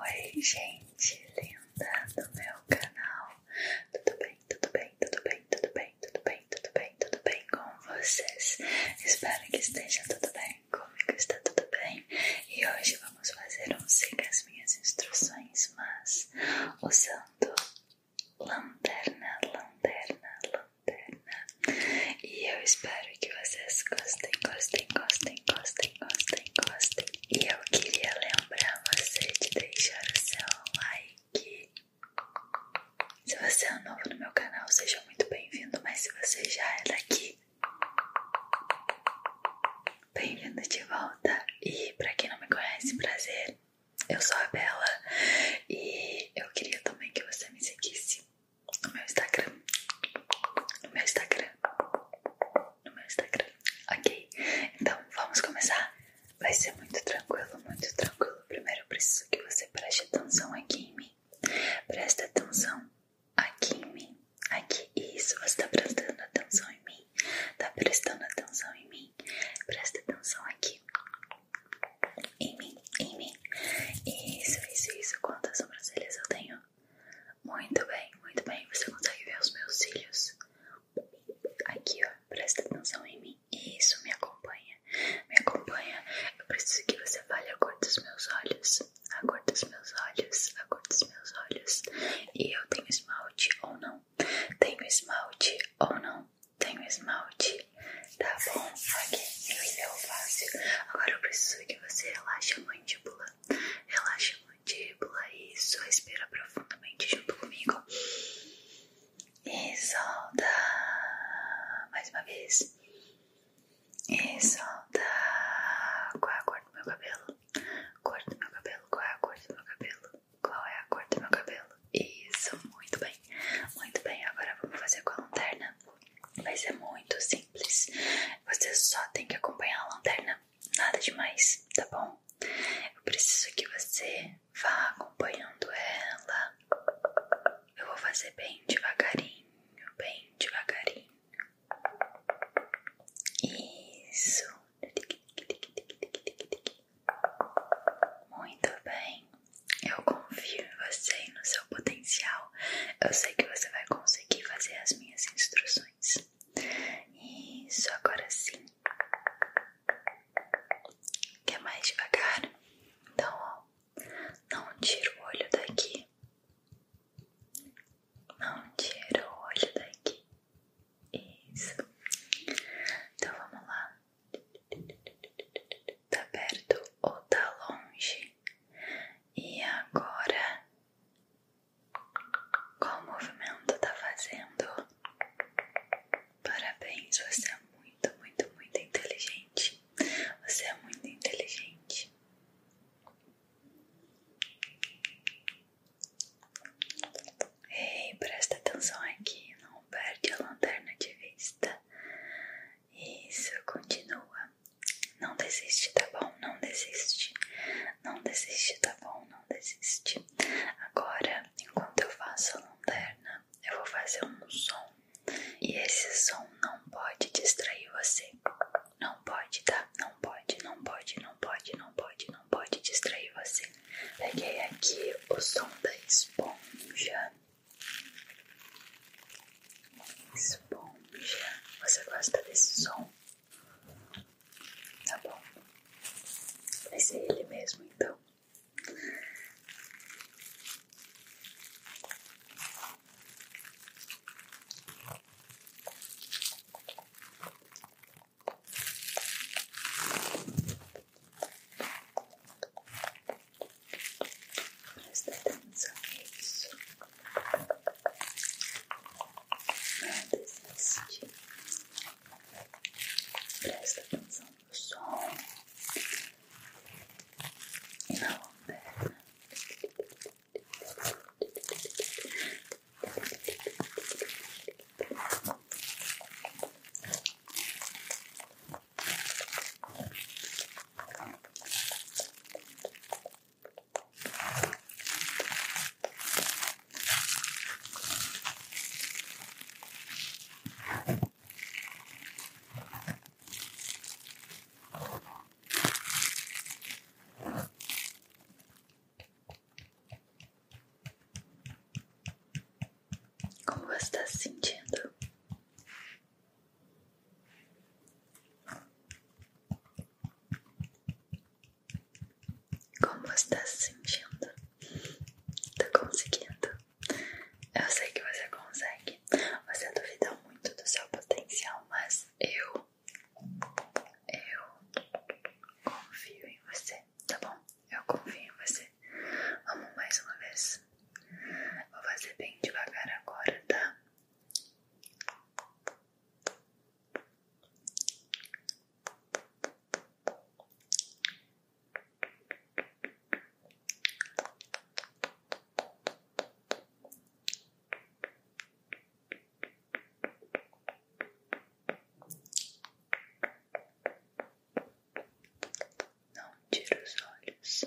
Oi, gente linda do meu canal. Tudo bem, tudo bem, tudo bem, tudo bem, tudo bem, tudo bem, tudo bem com vocês? Espero que esteja tudo bem. Comigo está tudo bem. E hoje vamos fazer um siga as minhas instruções, mas usando lanterna, lanterna, lanterna. E eu espero espero que vocês gostem, gostem, gostem, gostem, gostem, gostem. E eu queria lembrar você de deixar o seu like. Se você é novo no meu canal, seja muito bem-vindo, mas se você já é daqui, bem-vindo de volta. E para quem não me conhece, prazer. Eu sou a Bela e eu queria também que você me seguisse no meu Instagram, no meu Instagram, no meu Instagram, ok? Então vamos começar? Vai ser muito tranquilo, muito tranquilo. Primeiro eu preciso que você preste atenção aqui em mim. Preste atenção aqui em mim, aqui. Isso, você tá prestando atenção em mim, tá prestando atenção em mim, presta atenção aqui. Em mim, em mim. Isso, isso, isso. Quantas sobrancelhas eu tenho? Muito bem, muito bem. Você consegue ver os meus cílios? Aqui, ó. Presta atenção em mim. Isso, me acompanha. Me acompanha. Eu preciso que você fale a cor dos meus olhos. A cor dos meus olhos. A cor dos meus olhos. E eu tenho esmalte ou não? Tenho esmalte ou não? Tenho esmalte. Tá bom, ok. Isso é fácil. Agora eu preciso que você relaxe a mandíbula mandíbula. Relaxa a mandíbula. Isso. Respira profundamente junto comigo. E solta. Mais uma vez. E solta. Qual é a cor do meu cabelo? Cor do meu cabelo. Qual é a cor do meu cabelo? Qual é a cor do meu cabelo? Isso. Muito bem. Muito bem. Agora vamos fazer com a lanterna. Vai ser muito simples simples. Você só tem que acompanhar a lanterna, nada demais, tá bom? Eu preciso que você vá acompanhando ela. Eu vou fazer bem devagarinho, bem devagarinho. Isso. Muito bem. Eu confio em você e no seu potencial. Eu sei que você vai conseguir fazer as minhas instruções. Isso, agora sim. Quer mais devagar? Então, ó, não tira o olho daqui. Não tira o olho daqui. Isso. Então vamos lá. Tá perto ou tá longe? E agora qual movimento está fazendo? Parabéns, você é muito, muito, muito inteligente. Você é muito inteligente. Ei, presta atenção aqui, não perde a lanterna de vista. Isso, continua. Não desiste, tá bom? Não desiste. Não desiste, tá bom? Não desiste. Agora, enquanto eu faço a lanterna, eu vou fazer um som. E esse som não pode distrair você. Não pode, tá? Não pode, não pode, não pode, não pode, não pode distrair você. Peguei aqui o som da esponja esponja. Você gosta desse som? Tá bom. Vai ser ele mesmo então. Presta atenção nisso. Não desiste. Presta atenção no som e na lanterna. Como você está se sentindo? Como você está se sentindo? Tá conseguindo? Eu sei que você consegue. Você duvida muito do seu potencial, mas eu. Eu confio em você, tá bom? Eu confio em você. Vamos mais uma vez. Vou fazer bem devagar agora, tá? Não tira os olhos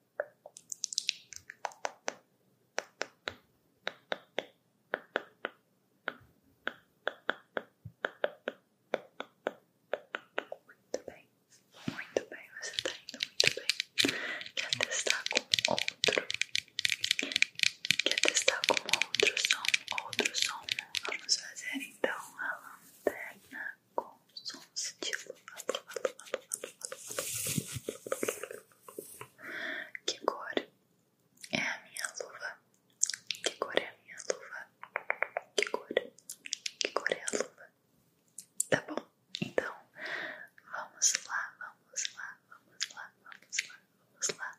Muito bem, muito bem, você tá muito bem. Quer testar com outro? Quer testar com outro som? Outro som? Vamos fazer então a lanterna com sons tipo que cor é a minha luva? Que cor é a minha luva? Que cor? Que cor é a luva? Tá bom, então vamos lá, vamos lá, vamos lá, vamos lá, vamos lá.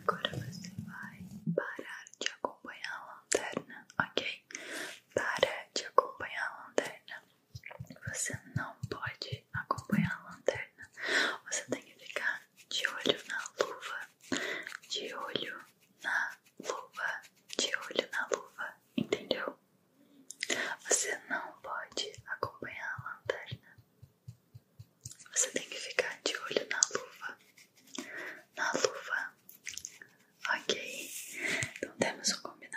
Agora você vai parar de acompanhar a lanterna, ok? Para de acompanhar a lanterna você não pode acompanhar a lanterna. Você tem que ficar de olho na luva, de olho na luva, de olho na luva, entendeu? Você não pode acompanhar a lanterna. Você tem que ficar de olho na luva, na luva. Ok, então temos um combinado.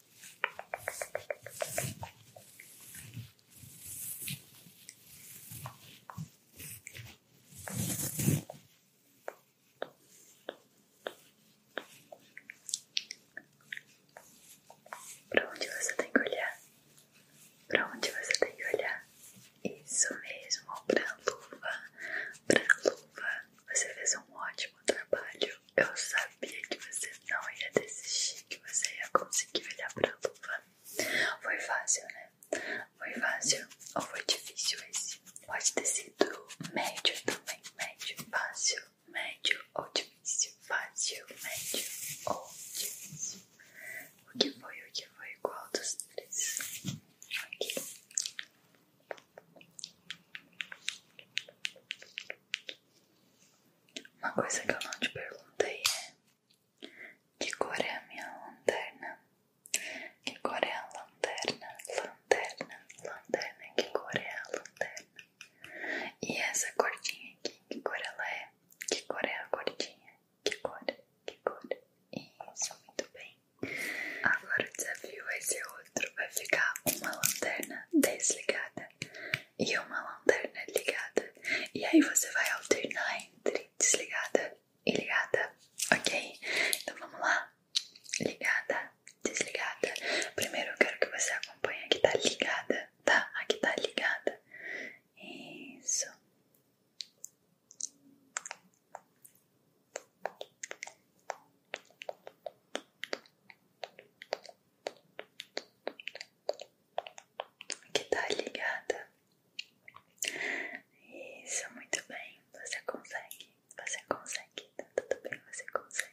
Pra onde você tem que olhar? Pra onde você tem que olhar? Isso mesmo, pra luva, pra luva. Você fez um ótimo trabalho. Eu sabia que você não ia desistir, que você ia conseguir olhar pra luva. Foi fácil, né? Foi fácil ou foi difícil esse? Pode ter sido médio também. Médio, fácil, médio ou difícil. Fácil, médio ou difícil. O que foi? O que foi igual dos três? Aqui. Uma coisa que eu não te perguntei é: que cor é a minha lanterna? Que cor é a lanterna? Lanterna, lanterna, que cor é a lanterna? E essa cordinha aqui, que cor ela é? Que cor é a cordinha? Que cor? Que cor? Isso, muito bem. Agora o desafio vai ser outro: vai ficar uma lanterna desligada e uma lanterna ligada. E aí você vai alternar entre desligada e ligada, ok? Então vamos lá. Ligada, desligada. Primeiro eu quero que você acompanhe a que tá ligada, tá? A que tá ligada. Isso que tá ligada. Isso, muito bem. Você consegue, você consegue. Tá tudo bem, você consegue.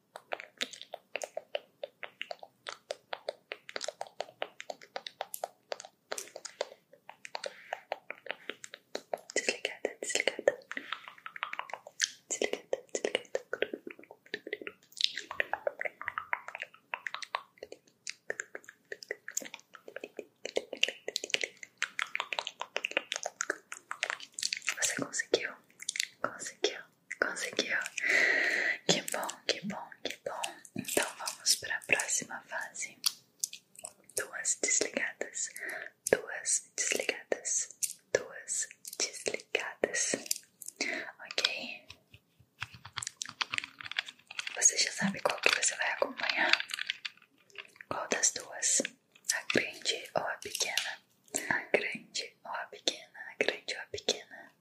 Desligada, desligada, desligada, desligada. Você conseguiu, conseguiu. Conseguiu? Que bom, que bom, que bom. Então vamos para a próxima fase. Duas desligadas, duas desligadas, duas desligadas. Ok? Você já sabe qual que você vai acompanhar? Qual das duas? A grande ou a pequena? a grande ou a pequena, a grande ou a pequena.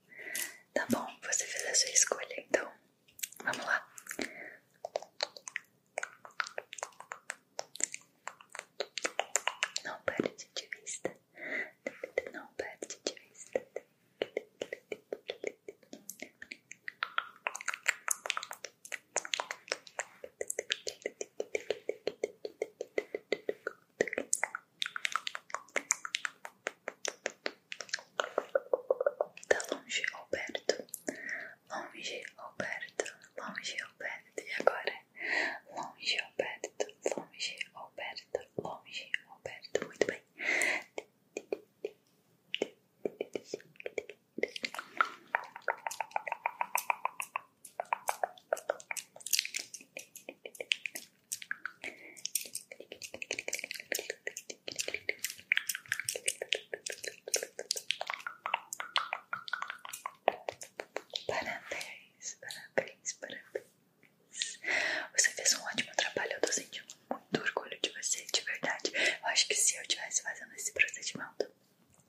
Tá bom, você fez a sua escolha, então vamos lá. Não perde de vista, não perde de vista. Tá longe Alberto. Longe Alberto. Longe Alberto. E agora? Longe Alberto. Longe Alberto. Longe Alberto. Muito bem. Parabéns, parabéns, parabéns. Você fez um ótimo trabalho. Eu tô sentindo muito orgulho de você, de verdade. Eu acho que se eu estivesse fazendo esse procedimento,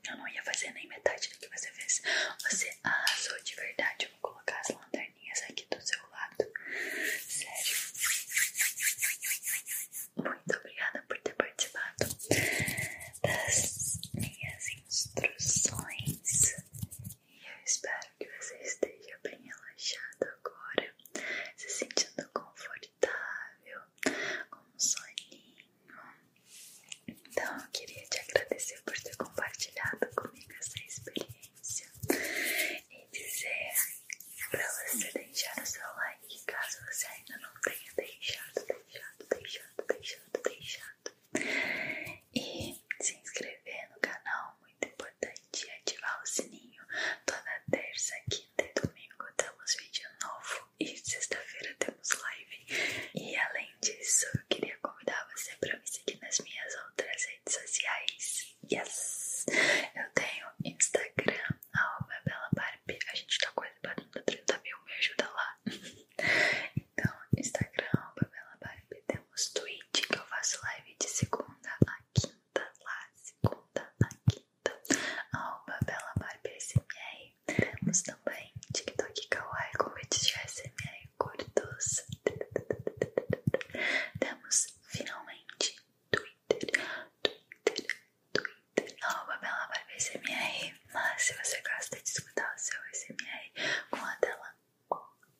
eu não ia fazer nem metade do que você fez. Você arrasou de verdade colocar as lanterninhas aqui do seu lado. Sério. Muito obrigada por ter participado das minhas instruções. E eu espero que você esteja bem relaxado agora, se sentindo confortável, com um soninho. Então, eu queria te agradecer por ter compartilhado comigo essa experiência e dizer para você deixar o seu like caso você ainda não tenha deixado, deixado, deixado, deixado, deixado. E se inscrever no canal, muito importante, e ativar o sininho toda terça, quinta e domingo temos vídeo novo e sexta-feira temos live. E além disso, eu queria convidar você para me seguir nas minhas outras redes sociais. Yes! Eu tenho Instagram, arroba BelaBarbie. A gente tá quase batendo 30 mil, me ajuda lá. Então, Instagram, arroba BelaBarbie. Temos Twitch, que eu faço live de segunda a quinta, lá, segunda a quinta, arroba BelaBarbie SMR. Temos também TikTok Kawaii com vídeos de SMR recordos. Temos finalmente Twitter, Twitter, Twitter. Arroba Bela Barba SMR. Mas se você gosta de escutar o seu SMR com a dela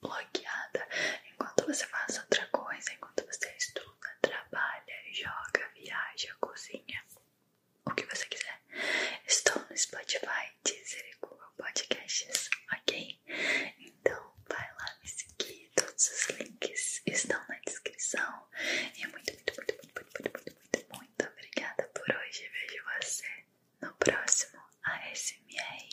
bloqueada, enquanto você faz outra coisa, enquanto você estuda, trabalha, joga, viaja, cozinha, o que você quiser. Estou no Spotify, Deezer e Google Podcasts, ok? Então vai lá me seguir, todos os links estão na descrição. E muito, muito, muito, muito, muito, muito, muito, muito, muito obrigada por hoje. Vejo você no próximo ASMR.